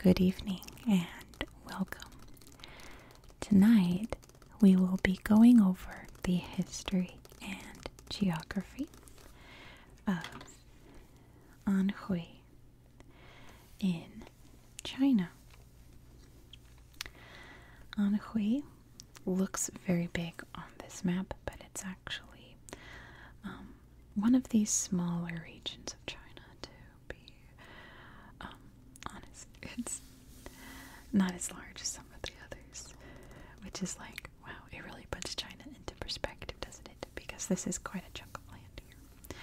Good evening and welcome. Tonight we will be going over the history and geography of Anhui in China. Anhui looks very big on this map, but it's actually um, one of these smaller regions of China, to um, honest, it's not as large as some of the others, which is like, wow, it really puts China into perspective, doesn't it? Because this is quite a chunk of land here.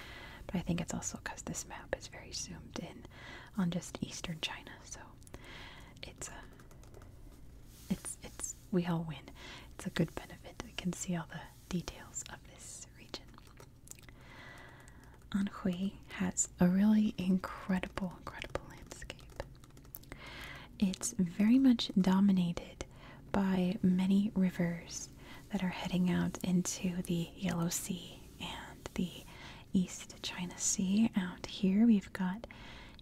But I think it's also because this map is very zoomed in on just eastern China, so it's a, uh, it's, it's, we all win. It's a good benefit. We can see all the details of this region. Anhui has a really incredible, incredible landscape. It's very much dominated by many rivers that are heading out into the Yellow Sea and the East China Sea. Out here, we've got,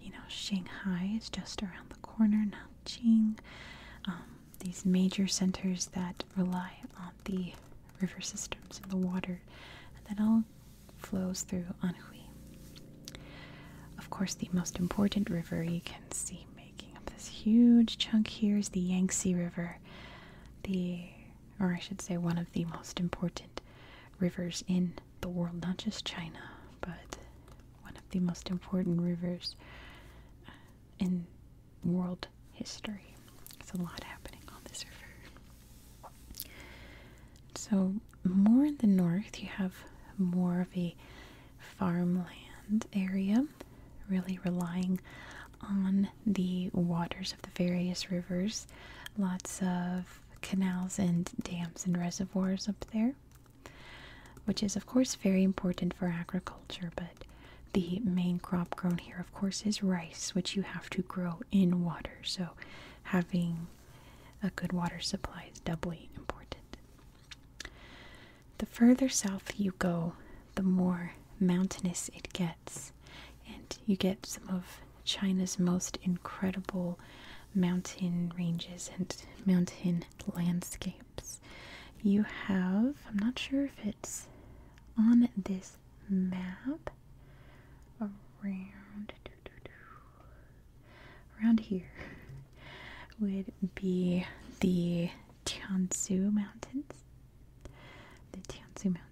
you know, Shanghai is just around the corner, Nanjing, um, these major centers that rely on the river systems and the water and that all flows through Anhui. Of course, the most important river you can see making up this huge chunk here is the Yangtze River, the, or I should say, one of the most important rivers in the world, not just China, but one of the most important rivers in the world history. There's a lot happening on this river. So, more in the north, you have more of a farmland area, really relying on the waters of the various rivers. Lots of canals and dams and reservoirs up there, which is, of course, very important for agriculture, but the main crop grown here, of course, is rice, which you have to grow in water. So, having a good water supply is doubly important. The further south you go, the more mountainous it gets, and you get some of China's most incredible mountain ranges and mountain landscapes. You have, I'm not sure if it on this map around around here would be the Tianzu Mountains. The Tianzu Mountain.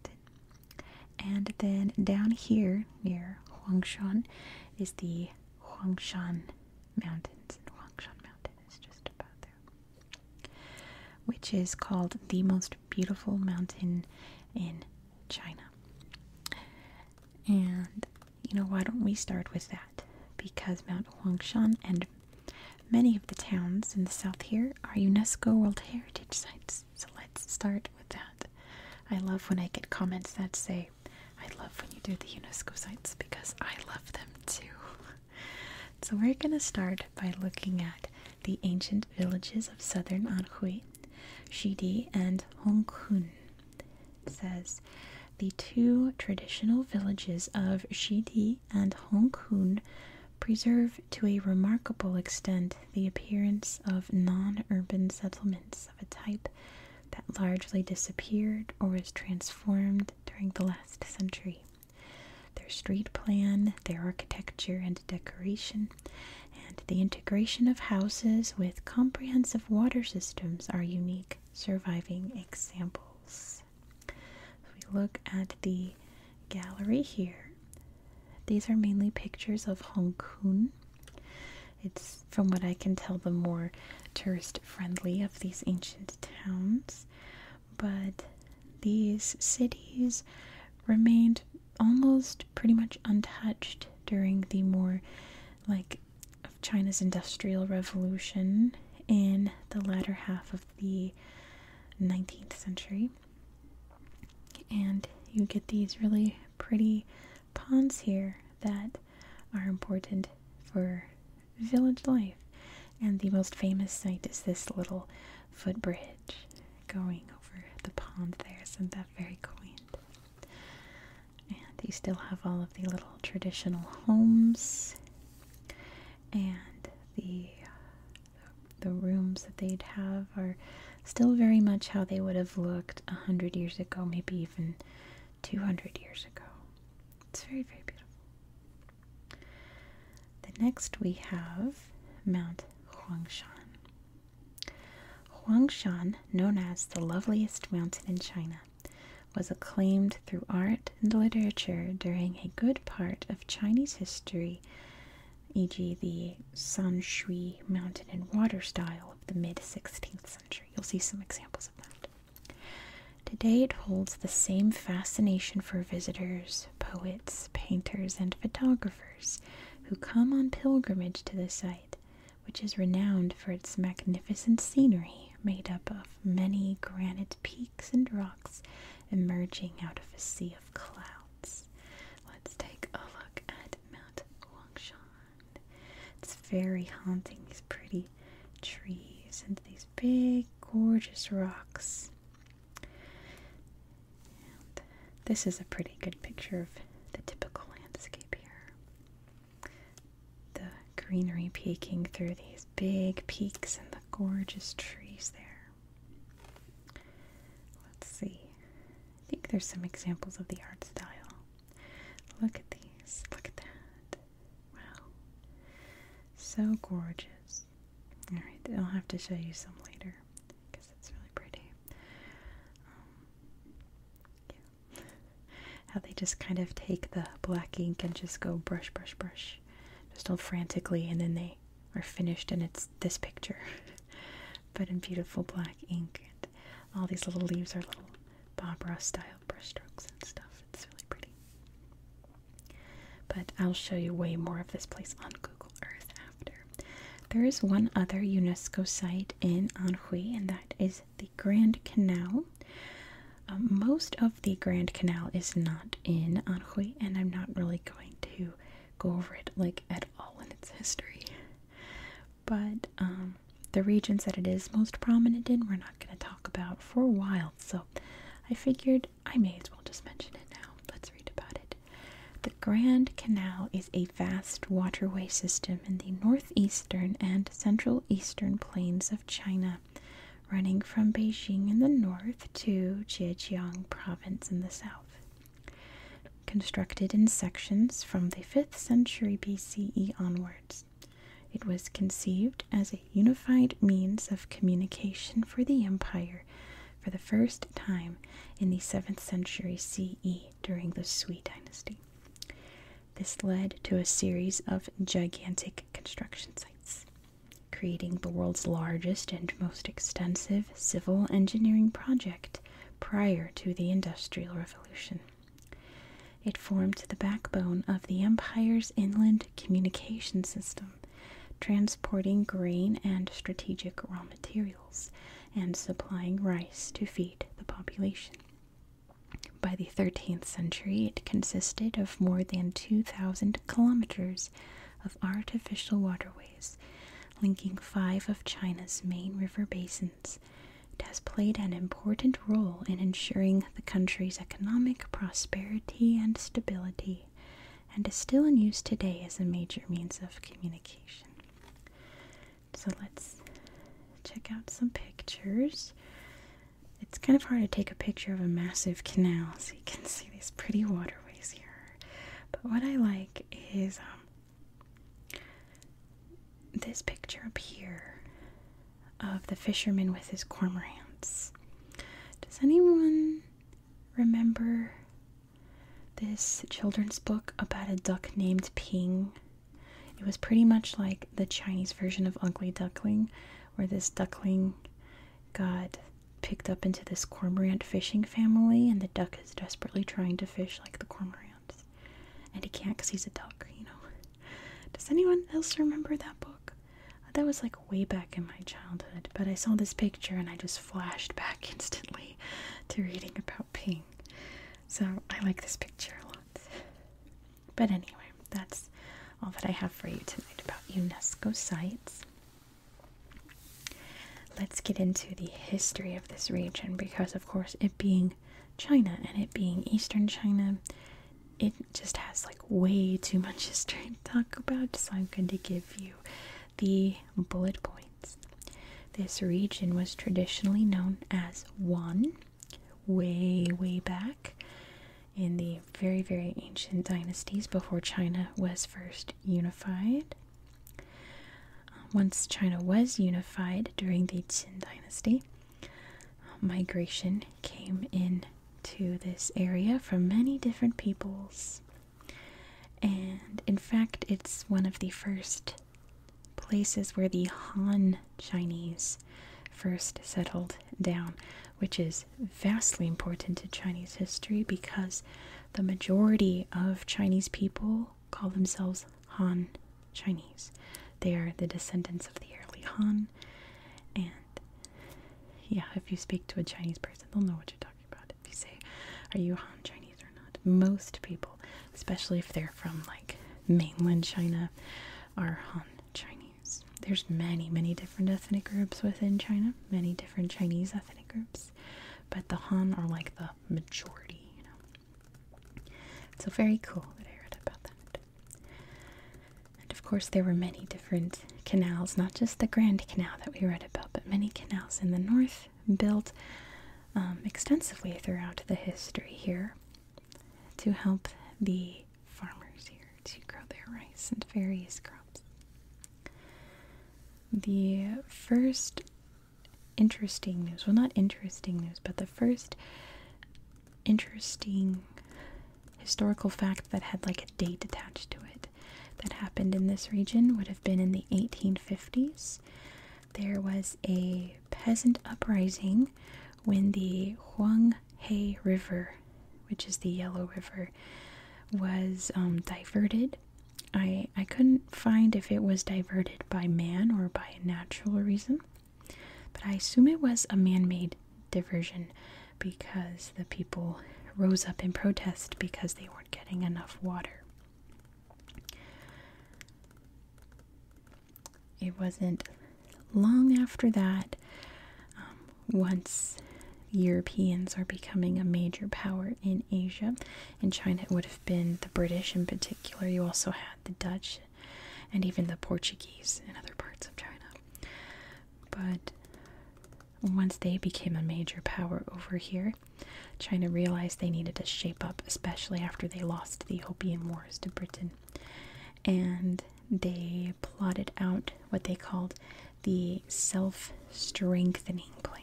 And then down here near Huangshan is the Huangshan Mountains. Huangshan Mountain is just about there. Which is called the most beautiful mountain in China. And you know, why don't we start with that? Because Mount Huangshan and many of the towns in the south here are UNESCO World Heritage Sites. So let's start with that. I love when I get comments that say, I love when you do the UNESCO sites because I love them too. so we're going to start by looking at the ancient villages of southern Anhui, Shidi and Hongkun. says the two traditional villages of Shidi and Hongkun preserve to a remarkable extent the appearance of non-urban settlements of a type that largely disappeared or was transformed during the last century their street plan, their architecture and decoration, and the integration of houses with comprehensive water systems are unique surviving examples. If we look at the gallery here, these are mainly pictures of Hong Kong. It's, from what I can tell, the more tourist friendly of these ancient towns, but these cities remained almost pretty much untouched during the more like of China's industrial revolution in the latter half of the 19th century. And you get these really pretty ponds here that are important for village life. And the most famous site is this little footbridge going over the pond there. Isn't that very quaint? And you still have all of the little traditional homes and the the rooms that they'd have are still very much how they would have looked a hundred years ago, maybe even two hundred years ago. It's very, very beautiful. The next we have Mount Huangshan. Huangshan, known as the loveliest mountain in China, was acclaimed through art and literature during a good part of Chinese history, e.g., the Shui mountain and water style of the mid 16th century. You'll see some examples of that. Today, it holds the same fascination for visitors, poets, painters, and photographers who come on pilgrimage to the site, which is renowned for its magnificent scenery made up of many granite peaks and rocks emerging out of a sea of clouds. Let's take a look at Mount Huangshan. It's very haunting, these pretty trees and these big, gorgeous rocks this is a pretty good picture of the typical landscape here. The greenery peeking through these big peaks and the gorgeous trees there. Let's see. I think there's some examples of the art style. Look at these. Look at that. Wow. So gorgeous. Alright, I'll have to show you some later because it's really pretty. Um, How they just kind of take the black ink and just go brush, brush, brush, just all frantically, and then they are finished, and it's this picture, but in beautiful black ink. And all these little leaves are little Bob Ross style brushstrokes and stuff. It's really pretty. But I'll show you way more of this place on Google Earth there is one other UNESCO site in Anhui, and that is the Grand Canal. Uh, most of the Grand Canal is not in Anhui, and I'm not really going to go over it like at all in its history. But um, the regions that it is most prominent in, we're not going to talk about for a while. So I figured I may as well just mention it now. Let's read about it. The Grand Canal is a vast waterway system in the northeastern and central eastern plains of China, running from Beijing in the north to Zhejiang province in the south. Constructed in sections from the 5th century BCE onwards, it was conceived as a unified means of communication for the empire for the first time in the 7th century CE during the Sui dynasty. This led to a series of gigantic construction sites, creating the world's largest and most extensive civil engineering project prior to the Industrial Revolution. It formed the backbone of the empire's inland communication system, transporting grain and strategic raw materials, and supplying rice to feed the population. By the 13th century, it consisted of more than 2,000 kilometers of artificial waterways, linking five of China's main river basins. It has played an important role in ensuring the country's economic prosperity and stability and is still in use today as a major means of communication. So let's check out some pictures. It's kind of hard to take a picture of a massive canal, so you can see these pretty waterways here. But what I like is um, this picture up here of the fisherman with his cormorants. Does anyone remember this children's book about a duck named Ping. It was pretty much like the Chinese version of Ugly Duckling, where this duckling got picked up into this cormorant fishing family, and the duck is desperately trying to fish like the cormorants. And he can't because he's a duck, you know. Does anyone else remember that book? That was like way back in my childhood, but I saw this picture and I just flashed back instantly to reading about Ping. So I like this picture a lot. But anyway, that's all that I have for you tonight about UNESCO sites. Let's get into the history of this region because, of course, it being China and it being Eastern China, it just has like way too much history to talk about. So I'm going to give you the bullet points. This region was traditionally known as Wan, way, way back in the very, very ancient dynasties before China was first unified. Uh, once China was unified during the Qin dynasty, uh, migration came in to this area from many different peoples. And in fact, it's one of the first places where the Han Chinese first settled down, which is vastly important to Chinese history because the majority of Chinese people call themselves Han Chinese. They are the descendants of the early Han, and yeah, if you speak to a Chinese person, they'll know what you're talking about you say, Are you Han Chinese or not? Most people, especially if they're from like mainland China, are Han Chinese. There's many, many different ethnic groups within China, many different Chinese ethnic groups, but the Han are like the majority, you know. So, very cool that I read about that. And of course, there were many different canals, not just the Grand Canal that we read about, but many canals in the north built um, extensively throughout the history here to help the farmers here to grow their rice and various crops. The first interesting news, well, not interesting news, but the first interesting historical fact that had like a date attached to it that happened in this region would have been in the 1850s. There was a peasant uprising when the Huang He River, which is the Yellow River, was um, diverted. I, I couldn't find if it was diverted by man or by a natural reason, but I assume it was a man made diversion because the people rose up in protest because they weren't getting enough water. It wasn't long after that, um, once Europeans are becoming a major power in Asia, in China it would have been the British in particular. You also had the Dutch and even the Portuguese in other parts of China. But once they became a major power over here, China realized they needed to shape up, especially after they lost the Opium Wars to Britain. And they plotted out what they called the self strengthening plan.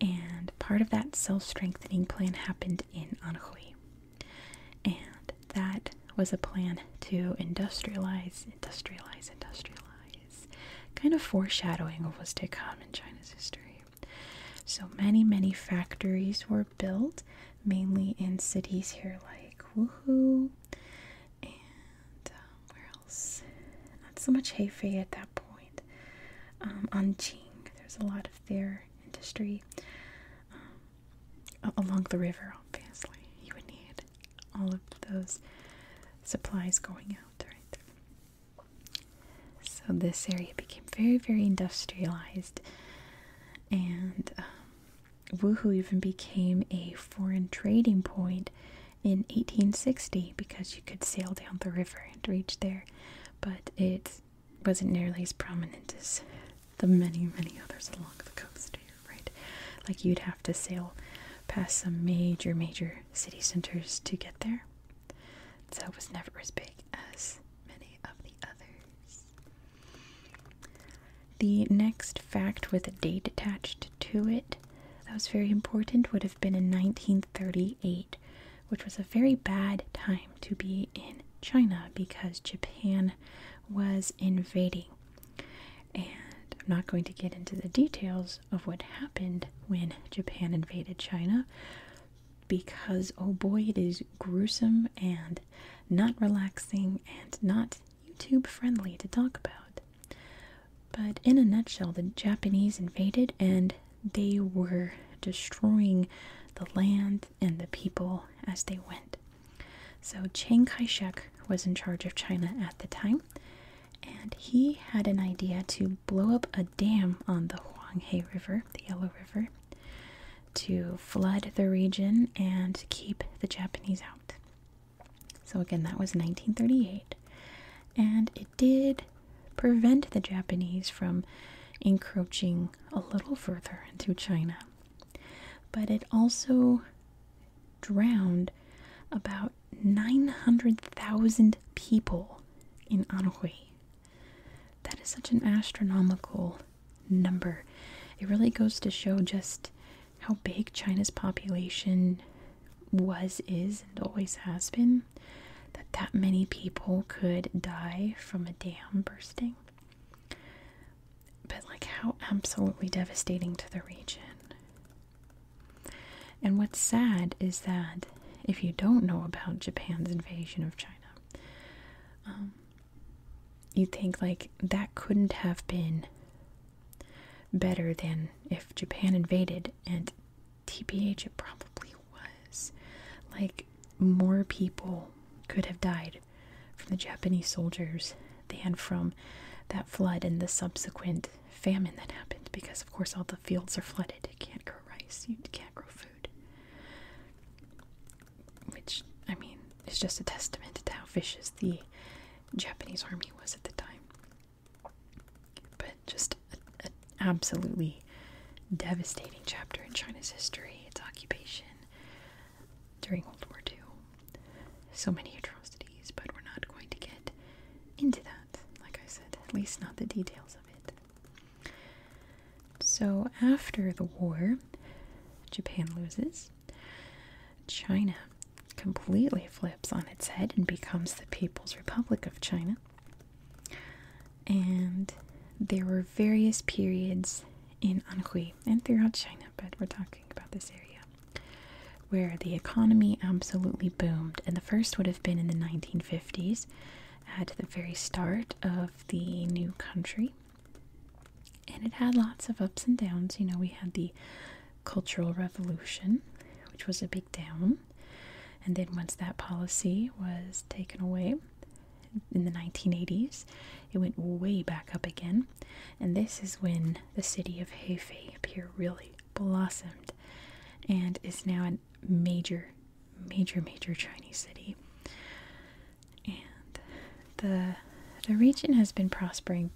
And part of that self strengthening plan happened in Anhui. And that was a plan to industrialize, industrialize, industrialize kind of foreshadowing of what's to come in China's history. So many, many factories were built, mainly in cities here like Wuhu and um, where else? Not so much Hefei at that point. Um, Anqing, there's a lot of their industry um, along the river, obviously. You would need all of those supplies going out, right? So this area became very, very industrialized, and um, Wuhu even became a foreign trading point in 1860 because you could sail down the river and reach there, but it wasn't nearly as prominent as the many, many others along the coast here right? Like you'd have to sail past some major, major city centers to get there. So it was never as big as many of the others. The next fact with a date attached to it that was very important would have been in 1938, which was a very bad time to be in China because Japan was invading. And I'm not going to get into the details of what happened when Japan invaded China because, oh boy, it is gruesome and not relaxing and not YouTube friendly to talk about. But in a nutshell, the Japanese invaded and they were destroying the land and the people as they went. So Chiang Kai shek was in charge of China at the time, and he had an idea to blow up a dam on the Huanghe River, the Yellow River, to flood the region and keep the Japanese out. So, again, that was 1938, and it did prevent the Japanese from encroaching a little further into China. But it also drowned about 900,000 people in Anhui. That is such an astronomical number. It really goes to show just how big China's population was, is, and always has been. That that many people could die from a dam bursting. But, like, how absolutely devastating to the region. And what's sad is that if you don't know about Japan's invasion of China, um, you think like that couldn't have been better than if Japan invaded, and TPH it probably was. Like, more people could have died from the Japanese soldiers than from that flood and the subsequent famine that happened because, of course, all the fields are flooded. You can't grow rice, you can't grow food. Which, I mean, is just a testament to how vicious the Japanese army was at the time. But just an absolutely devastating chapter in China's history, its occupation during World War II so many atrocities, but we're not going to get into that, like I said, at least not the details of it. So, after the war, Japan loses. China completely flips on its head and becomes the People's Republic of China. And there were various periods in Anhui and throughout China, but we're talking about this area where the economy absolutely boomed. And the first would have been in the 1950s, at the very start of the new country. And it had lots of ups and downs. You know, we had the Cultural Revolution, which was a big down. And then once that policy was taken away in the 1980s, it went way back up again. And this is when the city of Hefei here really blossomed and is now a major, major, major Chinese city. And the the region has been prospering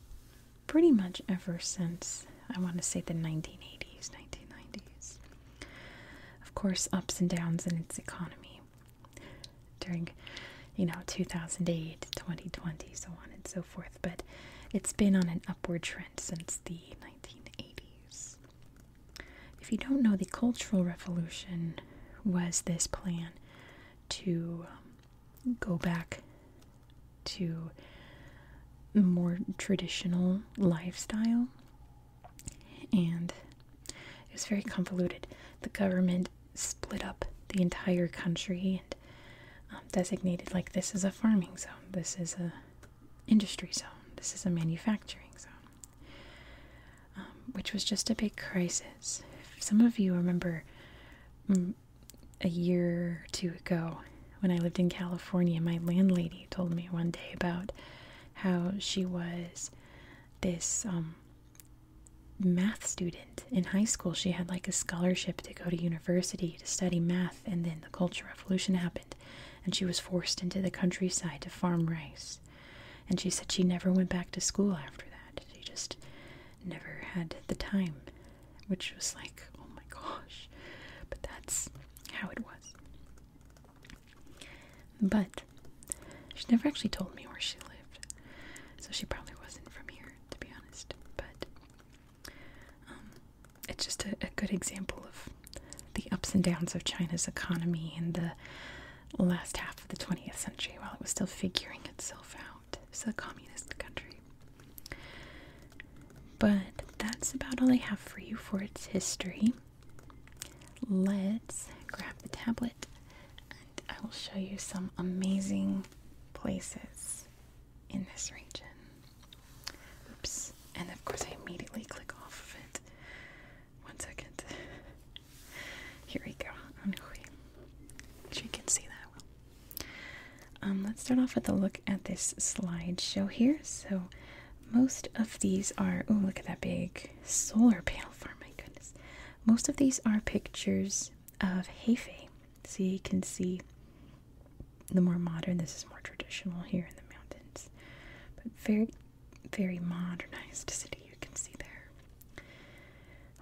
pretty much ever since I want to say the 1980s, 1990s. Of course, ups and downs in its economy during, you know, 2008, 2020, so on and so forth, but it's been on an upward trend since the 1980s. If you don't know, the Cultural Revolution was this plan to um, go back to more traditional lifestyle and it was very convoluted. The government split up the entire country and um, designated like this is a farming zone, this is a industry zone, this is a manufacturing zone, um, which was just a big crisis. Some of you remember mm, a year or two ago when I lived in California, my landlady told me one day about how she was this um, math student in high school, she had like a scholarship to go to university to study math, and then the Cultural Revolution happened, and she was forced into the countryside to farm rice. And she said she never went back to school after that. She just never had the time, which was like, oh my gosh. But that's how it was. But she never actually told me where she lived, so she probably wasn't from here, to be honest. But um, it's just a, a good example of the ups and downs of China's economy in the last half of the 20th century while it was still figuring itself out as a communist country. But that's about all I have for you for its history. Let's grab the tablet and I will show you some amazing places in this region. Oops. And of course, I immediately click off of it. One second. Here we go. As you can see that well. Um, let's start off with a look at this slideshow here. So, most of these are. Oh, look at that big solar panel farm! My goodness. Most of these are pictures of Hefei. So you can see the more modern, this is more traditional here in the mountains, but very, very modernized city you can see there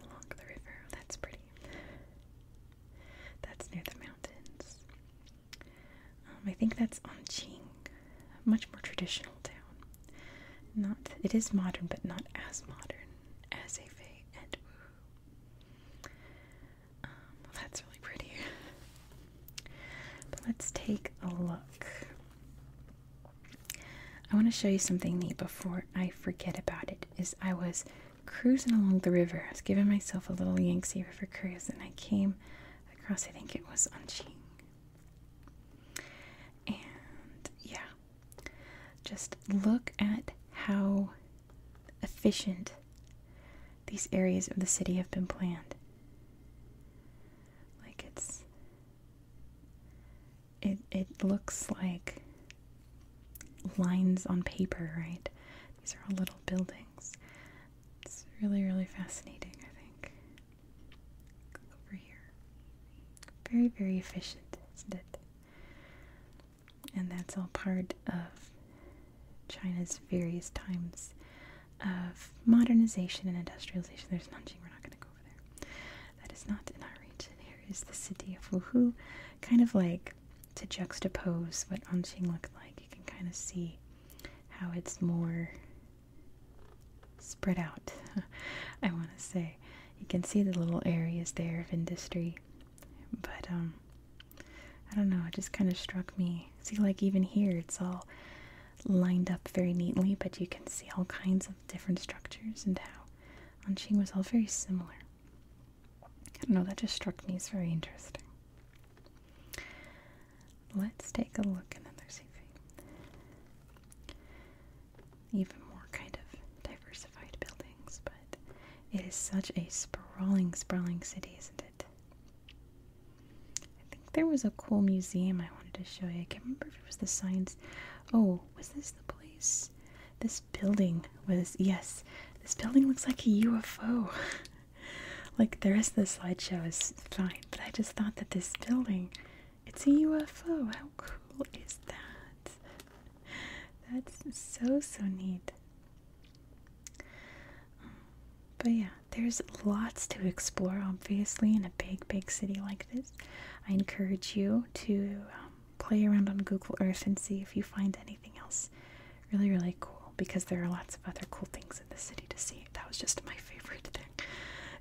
along the river. That's pretty. That's near the mountains. Um, I think that's Anqing, a much more traditional town. Not it is modern, but not as modern as Hefei and Wuhu. Um, that's really pretty. but let's take a look. I want to show you something neat before I forget about it. Is I was cruising along the river. I was giving myself a little Yangtze River cruise, and I came across. I think it was Anqing. And yeah, just look at how efficient these areas of the city have been planned. Like it's it it looks like lines on paper, right? These are all little buildings. It's really, really fascinating, I think. Over here. Very, very efficient, isn't it? and that's all part of China's various times of modernization and industrialization. There's Nanjing, we're not going to go over there. That is not in our region. Here is the city of Wuhu, kind of like to juxtapose what Nanjing looked like. You can kind of see how it's more spread out, I want to say. You can see the little areas there of industry but, um, I don't know, it just kind of struck me. See, like even here, it's all lined up very neatly, but you can see all kinds of different structures and how Anqing was all very similar. I don't know, that just struck me as very interesting. Let's take a look at another city. Even more kind of diversified buildings, but it is such a sprawling, sprawling city, isn't it? I think there was a cool museum I wanted to show you. I can't remember if it was the science. Oh, was this the place? This building was, yes, this building looks like a UFO. like the rest of the slideshow is fine, but I just thought that this building, it's a UFO. How cool is that? That's so, so neat. But yeah, there's lots to explore, obviously, in a big, big city like this. I encourage you to um, play around on Google Earth and see if you find anything else really, really cool because there are lots of other cool things in the city to see. That was just my favorite thing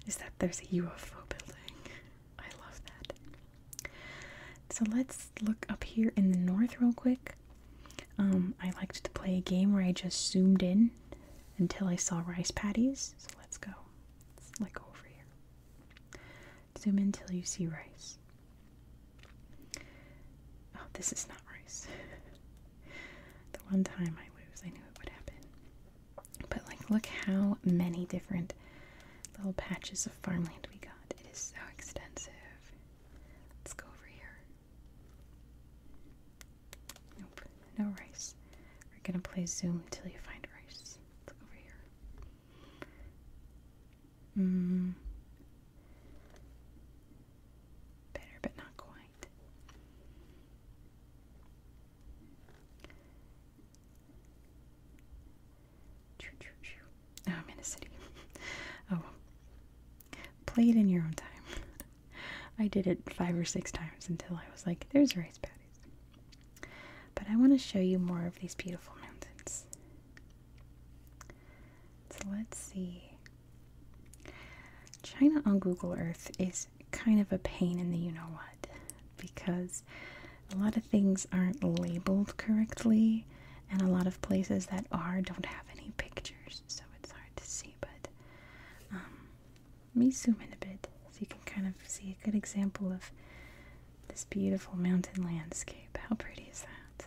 is that there's a UFO building. I love that. So let's look up here in the north real quick. Um, I liked to play a game where I just zoomed in until I saw rice patties. So let's go. Let's go over here. Zoom in till you see rice. Oh, this is not rice. the one time I lose, I knew it would happen. But like, look how many different little patches of farmland we got it is so extensive. Let's go over here. Nope, no rice. We're gonna play Zoom until you find rice. Let's go over here. Mmm. Better, but not quite. Oh, I'm in a city. Oh, play it in your own time. I did it five or six times until I was like, there's rice patties. But I want to show you more of these beautiful mountains. So let's see. China on Google Earth is kind of a pain in the you know what because a lot of things aren't labeled correctly, and a lot of places that are don't have any pictures, so it's hard to see. But um, let me zoom in a bit so you can kind of see a good example of this beautiful mountain landscape. How pretty is that?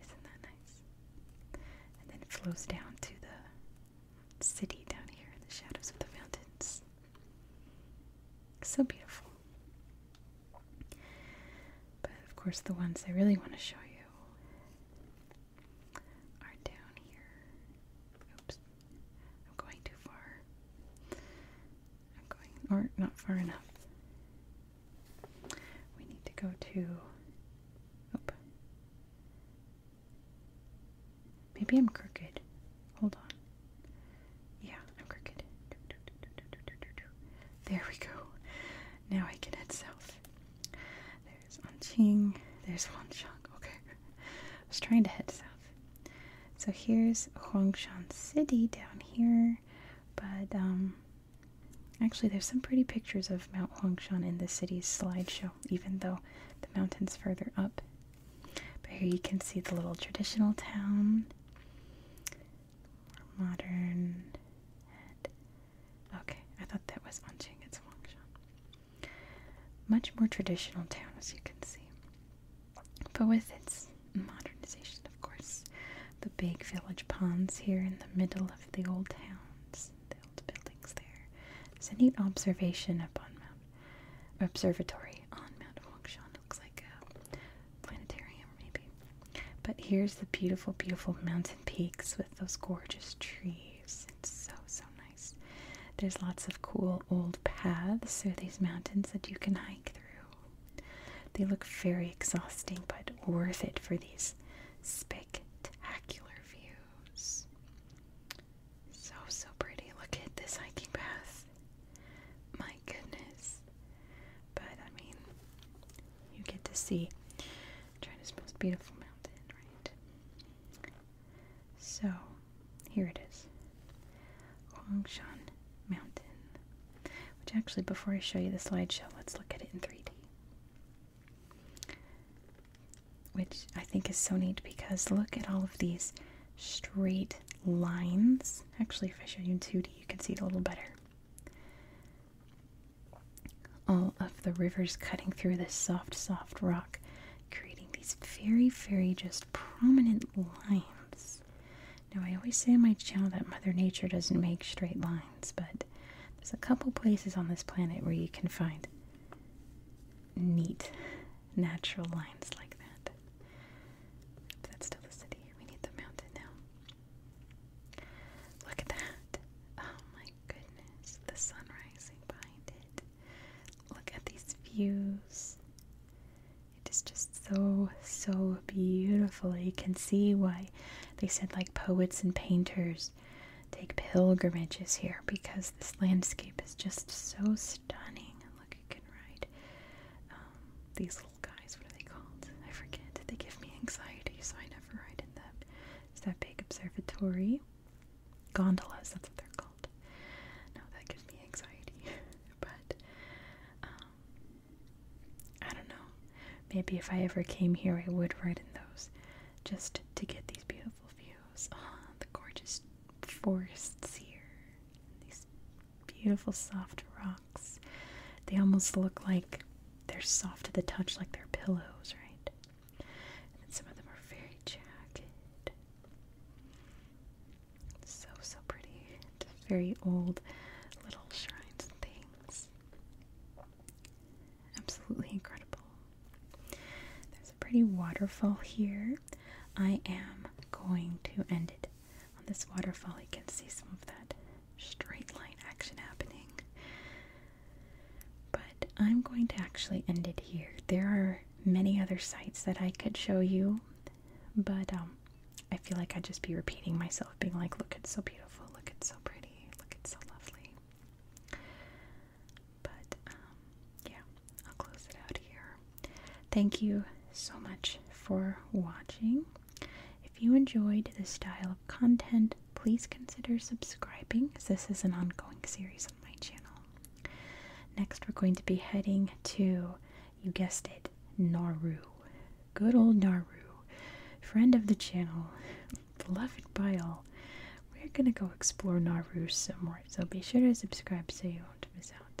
Isn't that nice? And then it flows down to the city down here in the shadows of the mountains. So beautiful. But of course, the ones I really want to show you are down here. Oops, I'm going too far. I'm going, or not far enough. We need to go to. Oop. Maybe I'm crooked. Hold on. Yeah, I'm crooked. There we go. Now I can head south. There's Anqing. There's Huangshan. Okay. I was trying to head south. So here's Huangshan City down here. But, um, actually, there's some pretty pictures of Mount Huangshan in the city's slideshow, even though the mountain's further up. But here you can see the little traditional town modern Okay, I thought that was Anqing, it's Huangshan. Much more traditional town, as you can see. But with its modernization, of course, the big village ponds here in the middle of the old towns, the old buildings there. It's a neat observation up on Mount Observatory on Mount Huangshan looks like a planetarium, maybe. But here's the beautiful, beautiful mountain peaks with those gorgeous trees. It's so, so nice. There's lots of cool old paths through these mountains that you can hike through. They look very exhausting, but worth it for these spectacular views. So, so pretty. Look at this hiking path. My goodness. But I mean, you get to see China's most beautiful mountain, right? So, here it is Huangshan Mountain. Which actually, before I show you the slideshow, let's look at it in 3D. Which I think is so neat because look at all of these straight lines. Actually, if I show you in 2D, you can see it a little better. All of the rivers cutting through this soft, soft rock, creating these very, very just prominent lines. Now, I always say on my channel that Mother Nature doesn't make straight lines, but there's a couple places on this planet where you can find neat natural lines like that. That's still the city. We need the mountain now. Look at that. Oh my goodness. The sun rising behind it. Look at these views. It is just so, so beautiful. You can see why they said, like, poets and painters take pilgrimages here because this landscape is just so stunning. look, you can ride um, these guys. What are they called? I forget. They give me anxiety, so I never ride in them. It's that big observatory. Gondolas, that's what they're called. No, that gives me anxiety. but, um, I don't know. Maybe if I ever came here, I would ride in those just to get these beautiful views. Ah, the gorgeous forests here. These beautiful soft rocks. They almost look like they're soft to the touch, like they're pillows, right? And then some of them are very jagged. So, so pretty. very old little shrines and things. Absolutely incredible. There's a pretty waterfall here. I am going to end it on this waterfall, you can see some of that straight line action happening. But I'm going to actually end it here. There are many other sites that I could show you, but um, I feel like I'd just be repeating myself, being like, look, it's so beautiful, look, it's so pretty, look, it's so lovely. But um, yeah, I'll close it out here. Thank you so much for watching. If you enjoyed this style of content, please consider subscribing this is an ongoing series on my channel. Next, we're going to be heading to, you guessed it, Naru. Good old Naru, Friend of the channel, beloved by all. We're gonna go explore Nauru some more, so be sure to subscribe so you won't miss out.